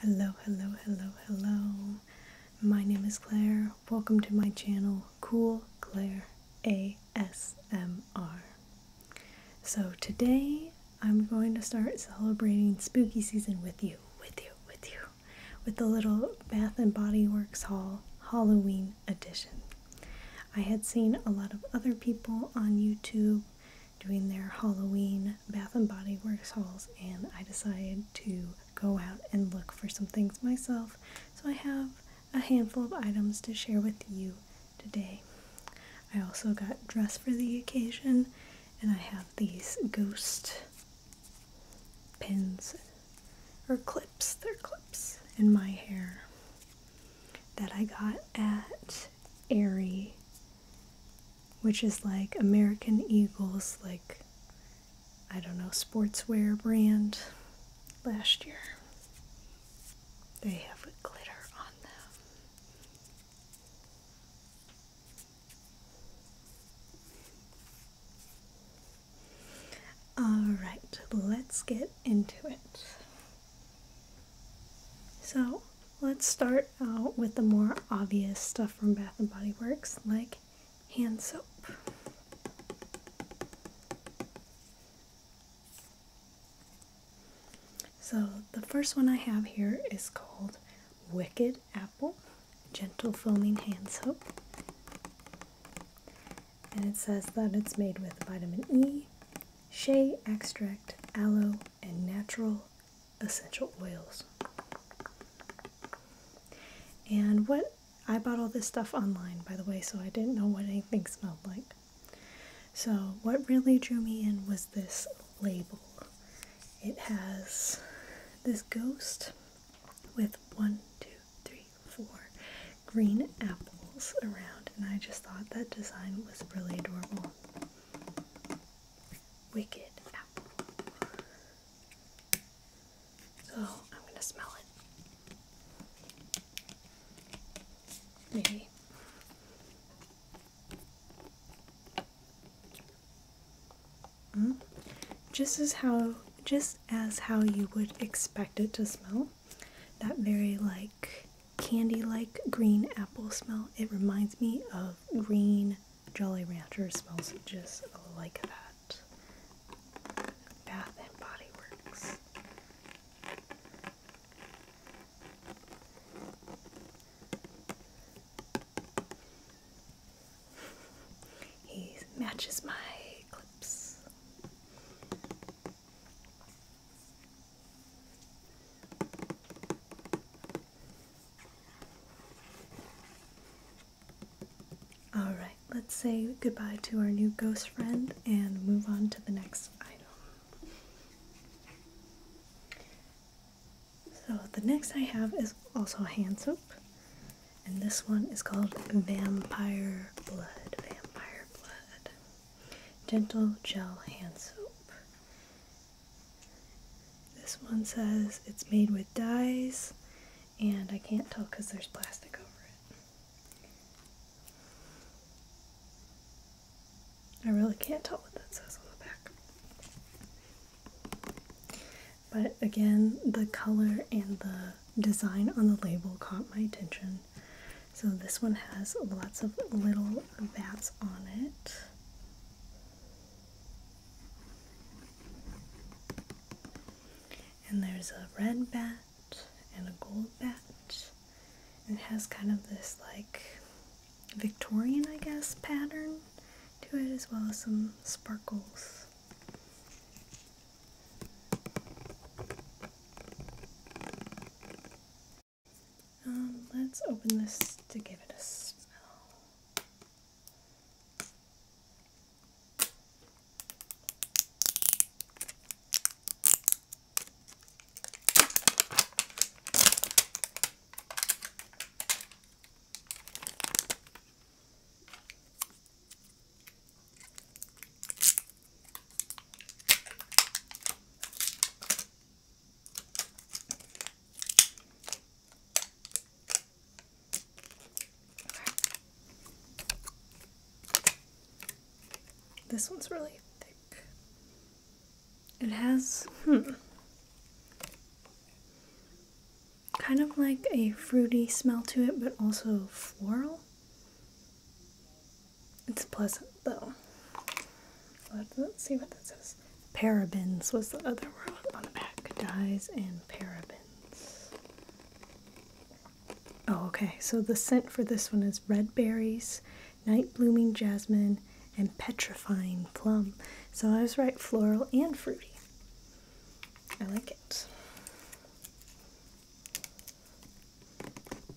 Hello, hello, hello, hello. My name is Claire. Welcome to my channel, Cool Claire ASMR. So today I'm going to start celebrating spooky season with you, with you, with you, with the little Bath and Body Works Hall Halloween edition. I had seen a lot of other people on YouTube doing their Halloween Bath and Body Works hauls, and I decided to go out and look for some things myself. So I have a handful of items to share with you today. I also got dressed for the occasion, and I have these ghost pins or clips, they're clips in my hair that I got at Aerie which is like American Eagles, like I don't know, sportswear brand last year. They have glitter on them. All right, let's get into it. So let's start out with the more obvious stuff from Bath and Body Works like hand soap. So the first one I have here is called Wicked Apple Gentle Foaming Hand Soap. And it says that it's made with vitamin E, shea extract, aloe, and natural essential oils. And what I bought all this stuff online, by the way, so I didn't know what anything smelled like. So, what really drew me in was this label. It has this ghost with one, two, three, four green apples around, and I just thought that design was really adorable. Wicked apple. So oh, I'm going to smell it. Maybe. Mm. Just as how just as how you would expect it to smell. That very like candy like green apple smell. It reminds me of green Jolly Rancher. Smells just like that. Bath and Body Works. He matches my clips. Alright, let's say goodbye to our new ghost friend and move on to the next item. So, the next I have is also hand soap, and this one is called Vampire Blood. Vampire Blood. Gentle Gel Hand Soap. This one says it's made with dyes, and I can't tell because there's plastic over it. I really can't tell what that says on the back. But again, the color and the design on the label caught my attention. So this one has lots of little bats on it. And there's a red bat and a gold bat. And it has kind of this like Victorian, I guess, pattern to it as well as some sparkles. Um, let's open this to give it a smell. This one's really thick. It has, hmm, kind of like a fruity smell to it, but also floral. It's pleasant though. Let's see what that says. Parabens What's the other word on the back. Dyes and parabens. Oh, okay. So the scent for this one is red berries, night blooming jasmine, and petrifying plum. So I was right, floral and fruity. I like it.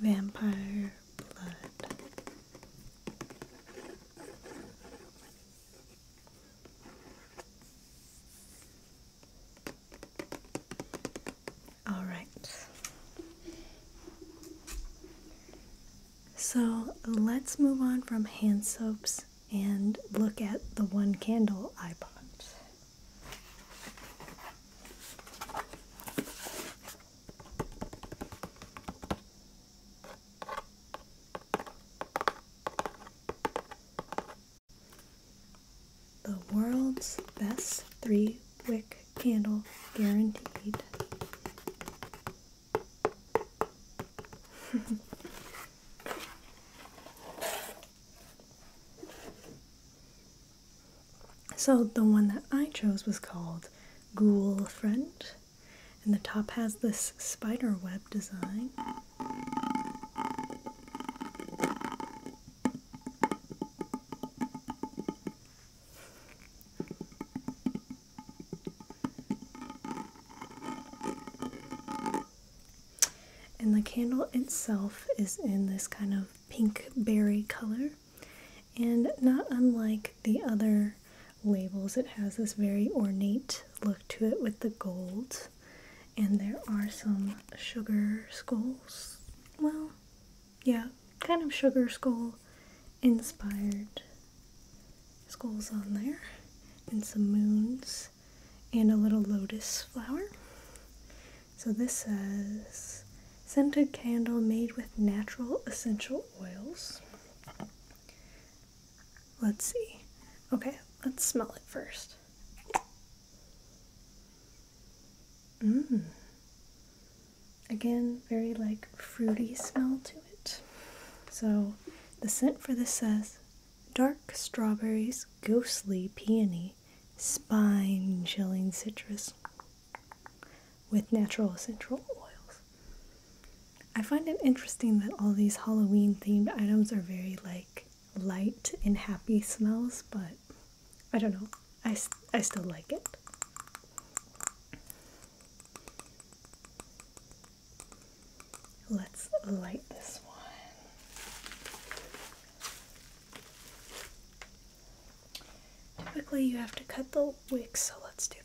Vampire Blood. All right. So let's move on from hand soaps and look at the one candle iPod. The world's best three wick candle guaranteed. So the one that I chose was called Ghoul Friend, and the top has this spider web design. And the candle itself is in this kind of pink berry color. And not unlike the other labels, it has this very ornate look to it with the gold. And there are some sugar skulls. Well, yeah, kind of sugar skull inspired skulls on there. And some moons and a little lotus flower. So this says scented candle made with natural essential oils. Let's see. Okay, let's smell it first. Mmm. Again, very like fruity smell to it. So the scent for this says dark strawberries, ghostly peony spine chilling citrus with natural essential oils. I find it interesting that all these Halloween themed items are very like light and happy smells, but I don't know. I, I still like it. Let's light this one. Typically you have to cut the wicks, so let's do that.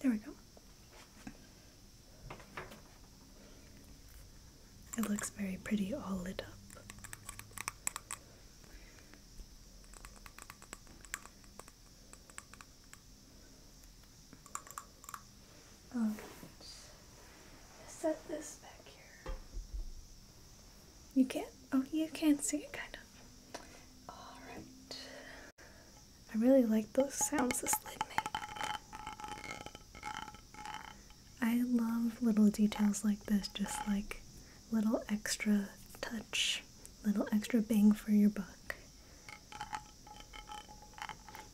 There we go. It looks very pretty all lit up. Um, set this back here. You can't? Oh, you can see it kind of. Alright. I really like those sounds this lid makes. I love little details like this, just like little extra touch, little extra bang for your buck.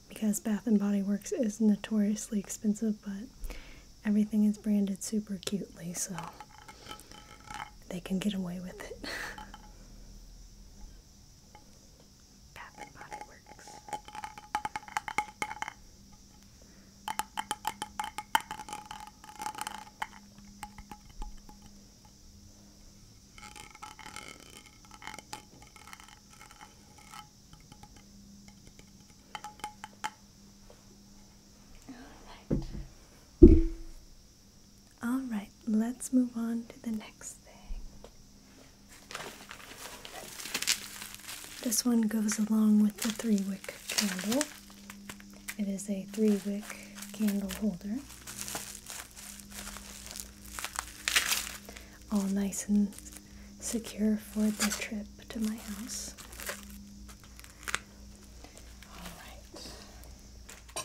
Because Bath and Body Works is notoriously expensive, but everything is branded super cutely, so they can get away with it. Bath and Body Works. Alright. All right, let's move on to the next thing. This one goes along with the three wick candle. It is a three wick candle holder. All nice and secure for the trip to my house. All right.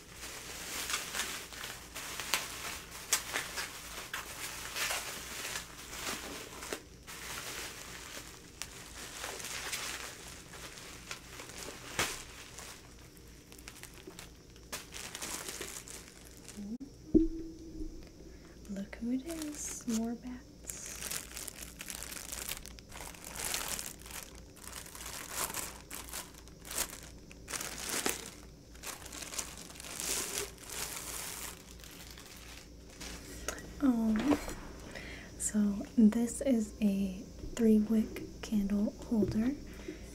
Look who it is, more bats. Um, so this is a three wick candle holder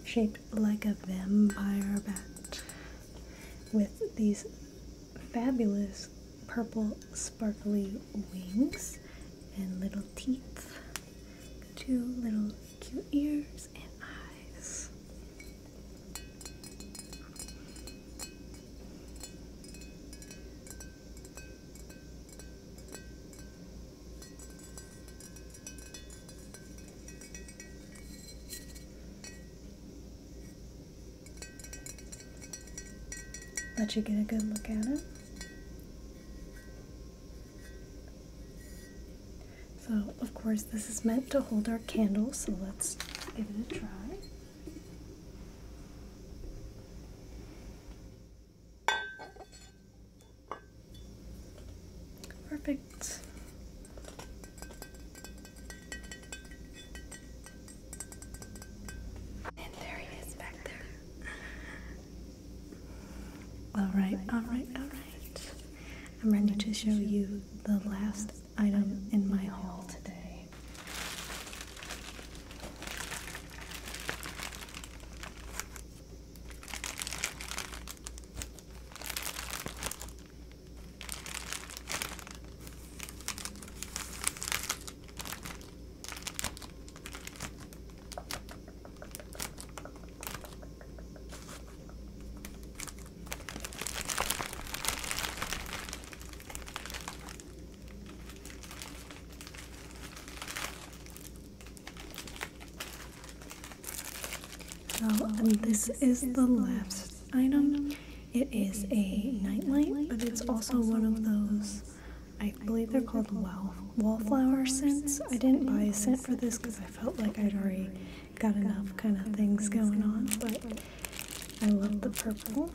shaped like a vampire bat with these fabulous purple sparkly wings and little teeth two little cute ears and eyes. Let you get a good look at him. So, of course, this is meant to hold our candle, so let's give it a try. Perfect. And there he is back there. Alright, alright, alright. I'm ready to show you the last item in my haul today. Oh, so this is the last item. It is a nightlight, but it's also one of those I believe they're called wall, wallflower scents. I didn't buy a scent for this because I felt like I'd already got enough kind of things going on, but I love the purple.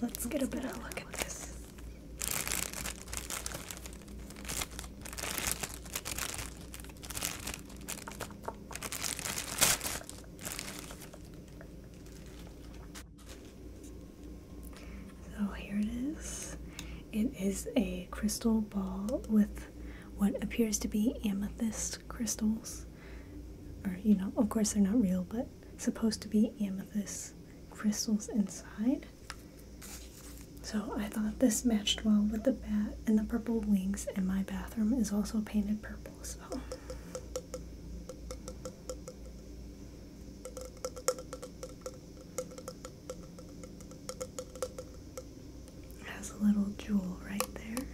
Let's get a better look at this. So here it is. It is a crystal ball with what appears to be amethyst crystals. Or, you know, of course they're not real, but supposed to be amethyst crystals inside. So I thought this matched well with the bat and the purple wings, and my bathroom is also painted purple, so has a little jewel right there.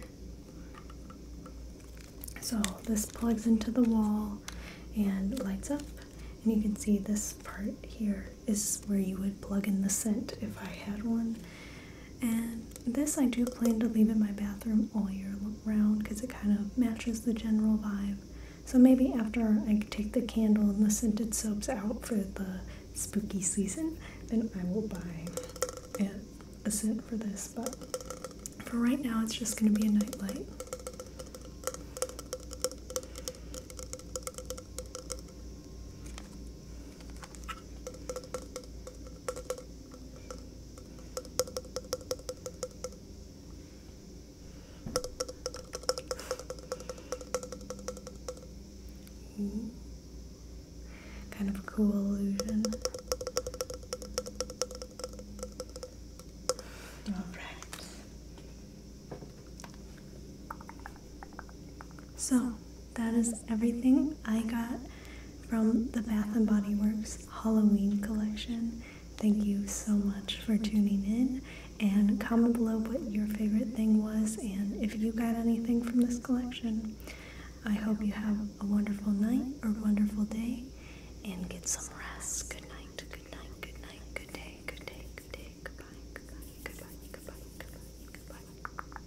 So this plugs into the wall and lights up. And you can see this part here is where you would plug in the scent if I had one. And this I do plan to leave in my bathroom all year long round because it kind of matches the general vibe. So maybe after I take the candle and the scented soaps out for the spooky season, then I will buy a, scent for this. But for right now, it's just going to be a night light. Kind of cool illusion. All right. So that is everything I got from the Bath and Body Works Halloween collection. Thank you so much for tuning in and comment below what your favorite thing was and if you got anything from this collection. I hope you have a wonderful night or wonderful day and get some rest. Good night, good night, good night, good day, good day, good day, goodbye, goodbye, goodbye, goodbye, goodbye, goodbye.